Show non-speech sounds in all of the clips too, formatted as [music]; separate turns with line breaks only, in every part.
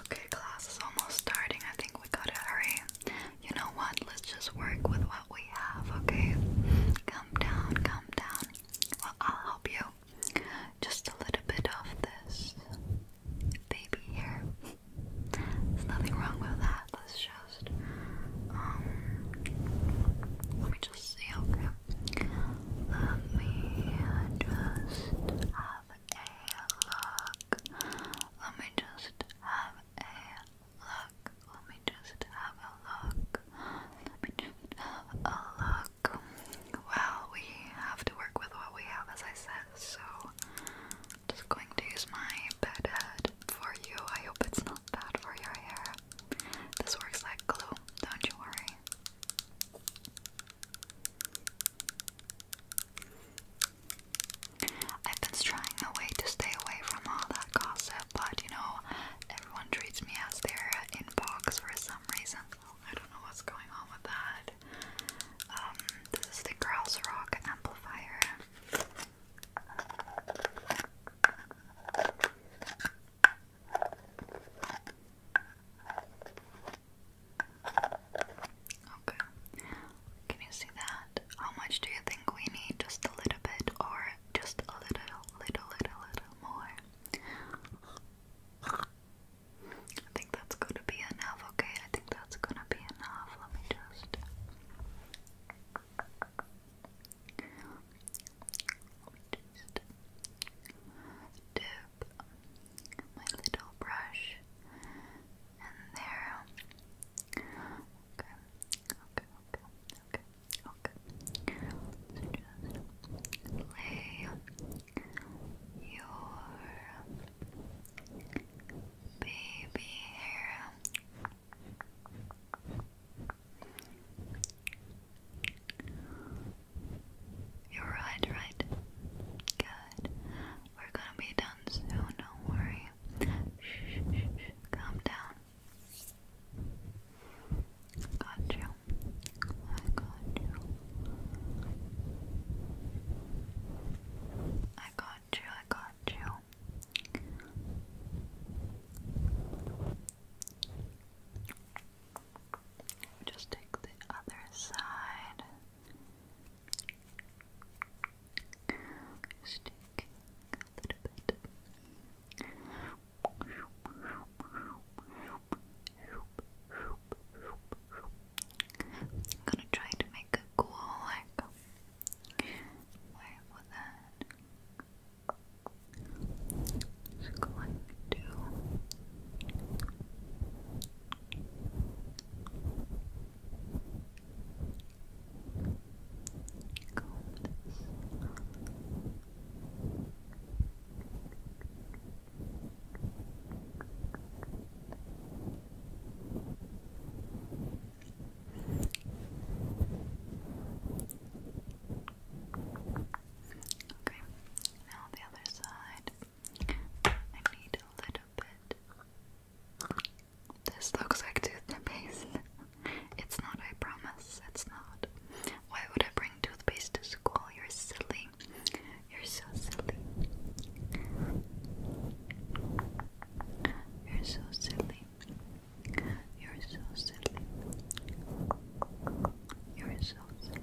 Okay, class is almost starting. I think we gotta hurry. You know what? Let's just work with what we have, okay? Come down, come down. Well, I'll help you. Just a little bit of this baby here. There's nothing wrong with that. Let's just, um, let me just see, okay? Let just have a look. Let me just have a look. Let me just have a look. Let me just have a look. Well, we have to work with what we have, as I said, so just going to use my bed head for you. I hope it's not bad for your hair. This works like glue, don't you worry. I've been trying a way to stay away from all that gossip, but you know, everyone treats me as their inbox for some reason. I don't know what's going on with that. Um, this is the Grouse Rock amplifier. Okay. Can you see that? How much do you think we need? Just a little bit or just a little, little, little, little more? I think that's gonna be enough, okay? I think that's gonna be enough. Let me just. just dip my little brush in there. Okay, okay, okay, okay, okay. just lay your baby hair. You're right, right? Good. We're gonna be done soon, don't worry. Shh, shh, shh. Calm down. Got you. I got you. I got you, I got you. Just take the other side. Just take a little bit. gonna try to make a cool like wave that. Just going to Okay, now the other side. I need a little bit. This looks like toothpaste. it's not, I promise. It's not. Why would I bring toothpaste to school? You're silly. You're so silly. You're so silly. You're so silly. You're so silly.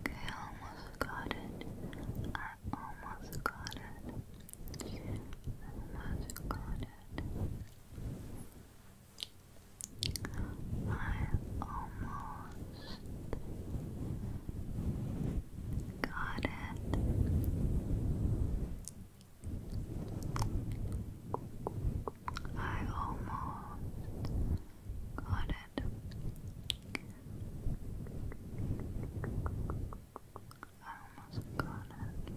Okay, almost got it. I almost got it. Almost got it. I almost got it. I almost got it. I almost got it.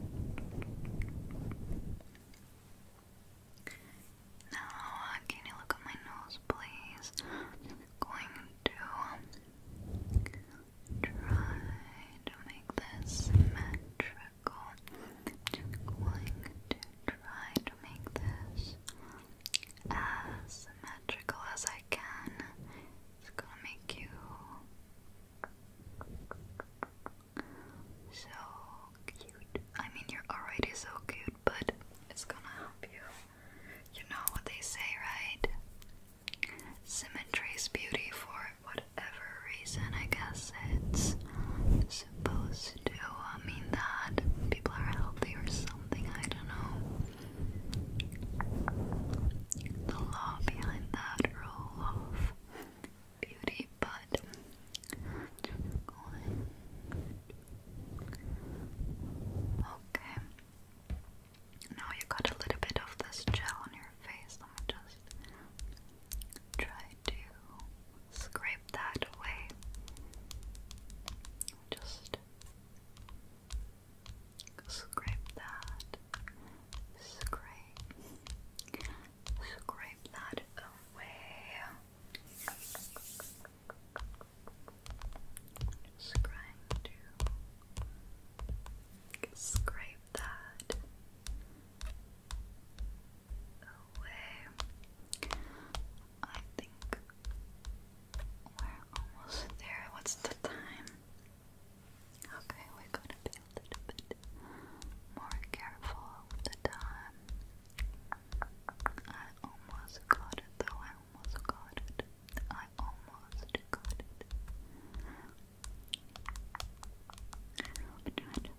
Now, uh, can you look at my nose, please? going to um, try to make this symmetrical. going to try to make this as symmetrical as I can. It's gonna make you so cute. I mean, you're already so cute, but it's gonna help you. You know what they say, right? Symmetry is beauty for whatever reason. I guess it's supposed to mean that people are healthy or something, I don't know. The law behind that rule of beauty, but Okay. Now you got a little bit of this gel on your face. Let me just try to scrape that away. Just scrape that, scrape, scrape that away. Just scrape that away. I think we're almost there. What's the time? Okay, we're gonna be a little bit more careful with the time. I almost got it though, I almost got it. I almost got it.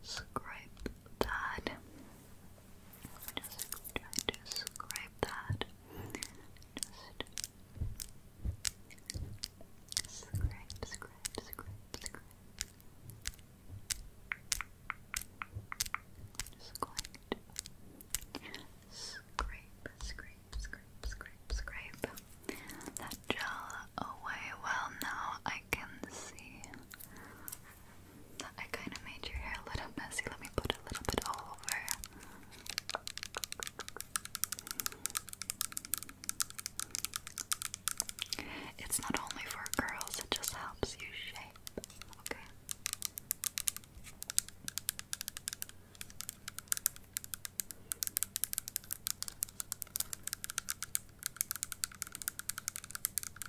scrape that. Just try to scrape that. Just scrape, scrape, scrape, scrape. scrape that gel away. Well, now I can see I kind of made your hair a little messy. Let me put a little bit all over. It's not only for girls, it just helps you shape. Okay.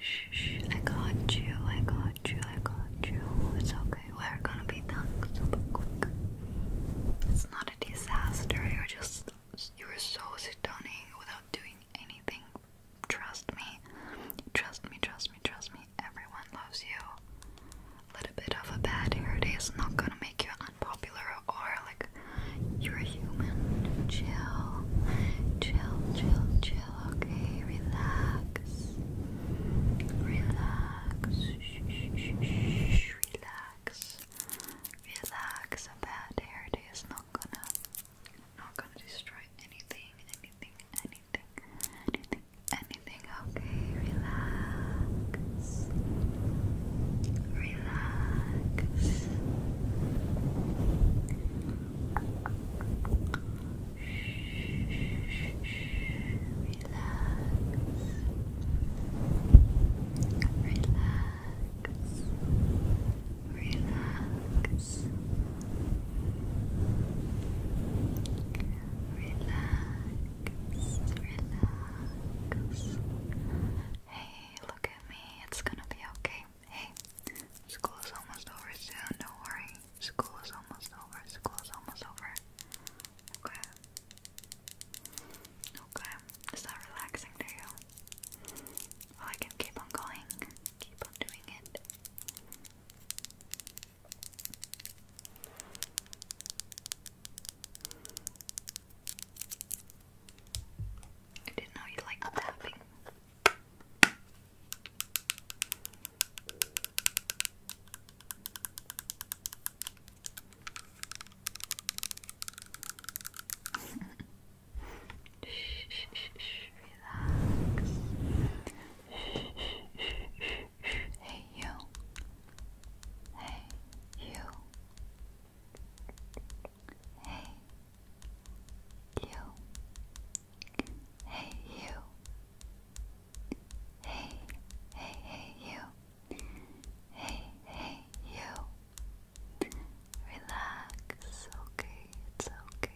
Shh, I got you, I got you, I got you. It's okay, we're gonna be done super quick. It's not a disaster, you're just, you're so stunning without doing anything Trust me. Trust me, trust me, trust me. Everyone loves you. A little bit of a bad hair day is not gonna make you unpopular or like you're a human. Chill. Chill, chill, chill. Okay, relax. Relax. Relax. Relax. A bad hair day is not gonna not gonna destroy anything, anything, anything, anything, anything. Okay, relax. Relax. Relax. Relax. Relax. Relax. Relax. Hey, look at me. It's gonna be okay. Hey, school is almost over soon. Don't worry. School is almost over. School is almost over. Okay. Okay. Is that relaxing to you? I can keep on going, keep on doing it. I didn't know you liked tapping. [laughs] Shh, relax. Hey you. Hey you. Hey you. Hey you. Hey, hey, hey you. Hey, hey you. Relax, okay, it's okay. It's okay.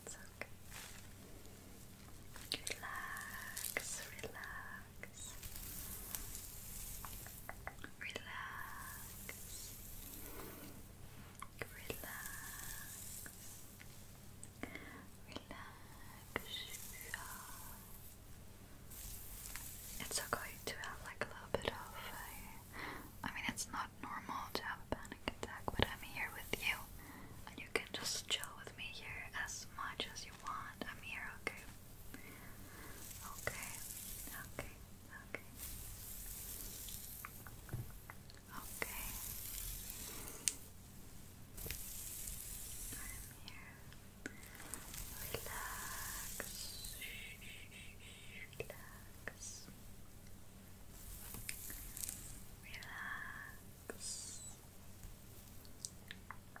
It's okay. It's okay. Relax, relax relax. Relax. Relax. It's okay to have like a little bit of a. I mean, it's not normal to have a panic attack, but I'm here with you, and you can just chill with me here as much as you want. I'm here, okay? Okay, okay, okay. Okay. I'm here. Relax. Relax. Relax. Relax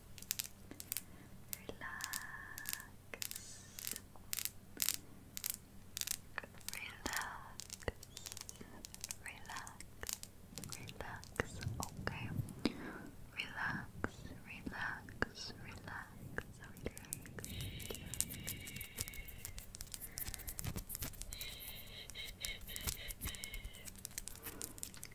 Relax. Relax. Relax. Relax. Okay. Relax. Relax. Relax. Relax.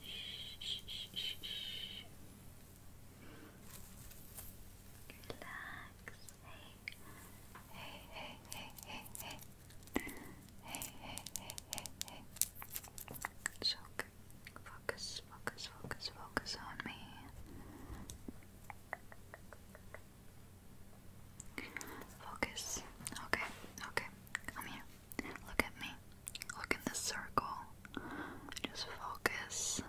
Shh, shh, shh, shh. Relax. Hey, hey, hey, hey, hey, hey, hey, hey, hey, hey, Focus, focus, focus, focus on me. Focus. Okay, okay. Come here. Look at me. Look in the circle. Just focus.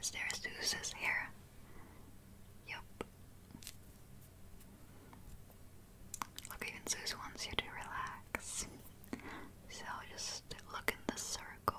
Is there a Zeus's Yup. Look, even Zeus wants you to relax. So just look in the circle.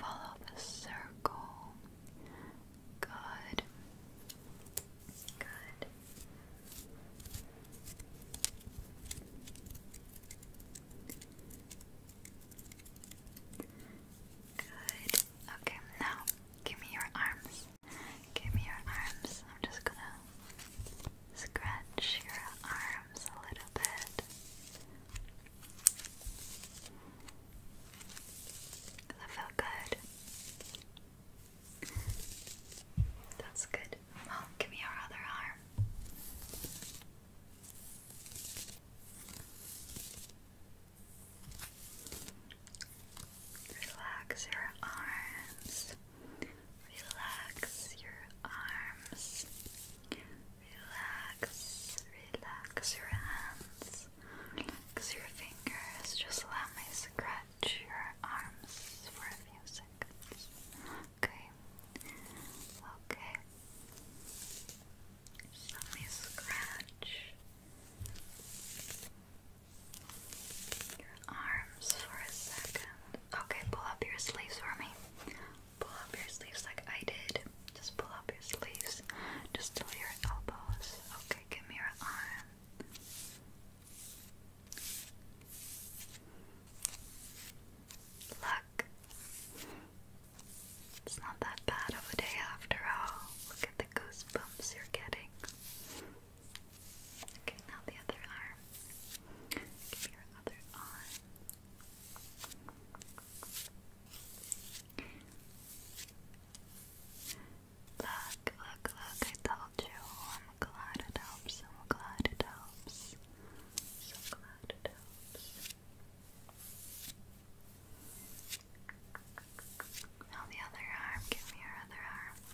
Follow the circle. Good. Good. Good. Okay, now give me your arms. Give me your arms. I'm just gonna scratch your arms a little bit. That felt good. That's good. Well, give me your other arm. Relax your arms. Relax your arms. Relax, relax your hands, relax your fingers. Just let me scratch your arms for a few seconds. Okay, okay. let me scratch your arms for a second. Okay, pull up your sleeves for me pull up your sleeves like I did. Just pull up your sleeves, just till your elbows. Okay, give me your arm. Look, it's not that bad of a day after all. Look at the goosebumps you're getting. Okay, now the other arm. Give your other arm. Look, look, look, I told you. I'm glad it helps. I'm glad it helps. So glad it helps. Now the other arm. Give me your other arm.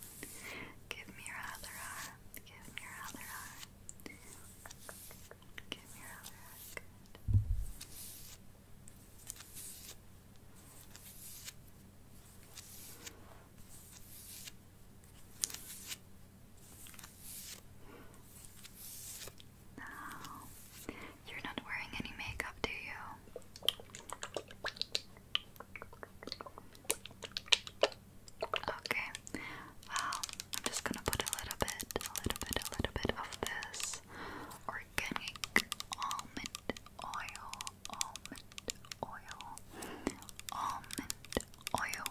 Give me your other arm. Give me your other arm. Give you're not wearing any makeup, do you? Okay, well, I'm just gonna put a little bit, a little bit, a little bit of this organic almond oil, almond oil, almond oil,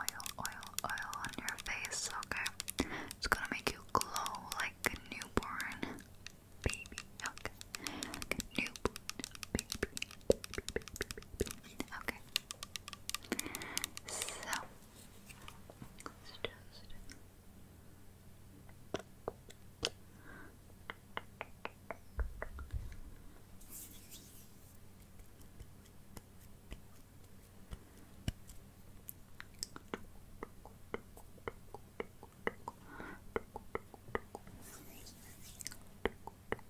oil, oil, oil on your face, okay? It's gonna make you glow like a newborn baby, okay? Like a newborn baby, baby, baby, baby. Okay, so let's just Okay.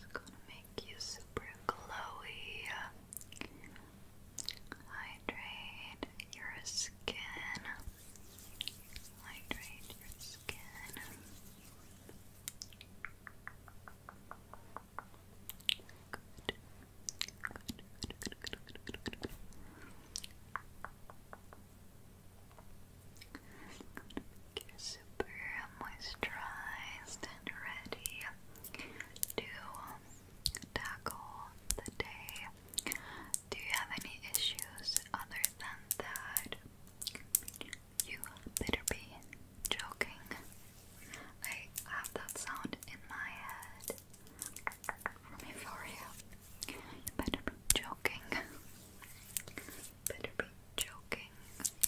it's gonna make you super glowy. Hydrate your skin. Hydrate your skin. Good. super moisturized and ready to tackle the day. Do you have any issues other than that? You better be joking. I have that sound in my head. From your better be joking. Better be joking.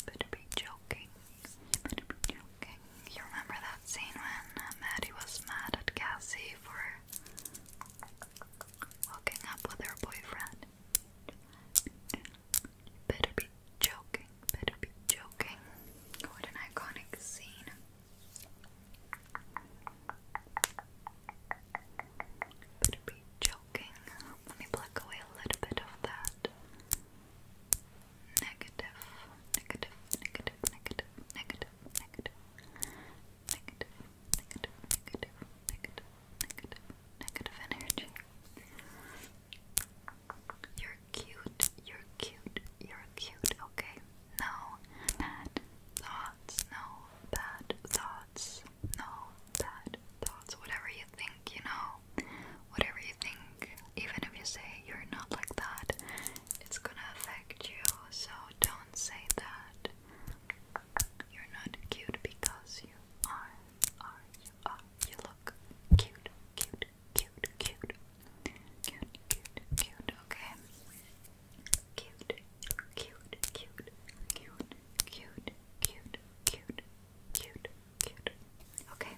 Better be joking. Okay, you remember that scene when uh, Maddie was mad at Cassie for hooking up with her boyfriend? Better be joking, better be joking. What an iconic scene. Better be joking. Let me pluck away a little bit of that negative, negative, negative, negative, negative, negative, negative, negative, negative, negative, negative, negative energy. You're cute, you're cute, you're cute, okay? No bad thoughts, no bad thoughts, no bad thoughts, whatever you think, you know, whatever you think even if you say you're not like that, it's gonna affect you. So don't say that you're not cute because you are, are, you are. You look cute, cute, cute, cute, cute, cute, cute. Okay, cute, cute, cute, cute, cute, cute, cute, cute. Cute. Okay.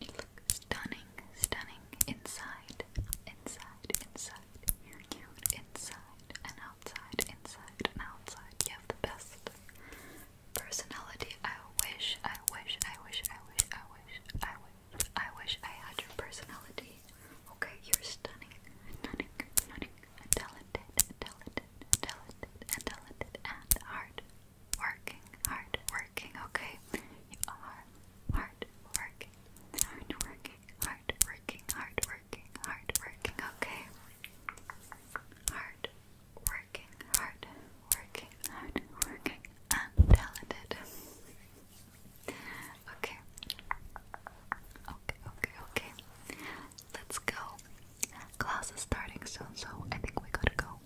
You look stunning, stunning inside, inside, inside. You're cute inside and outside, inside and outside. You have the best personality. I wish, I wish, I wish, I wish, I wish, I wish, I wish I had your personality. Okay, you're stunning, stunning, stunning, and talented, and talented, and talented, and talented, and hard working, hard working, okay? You are hard working, hard working, hard working, hard working, hard working, okay? Hard working, hard working, hard working, and talented. Okay. Okay, okay, okay. Let's go. Class is starting soon, so I think we gotta go.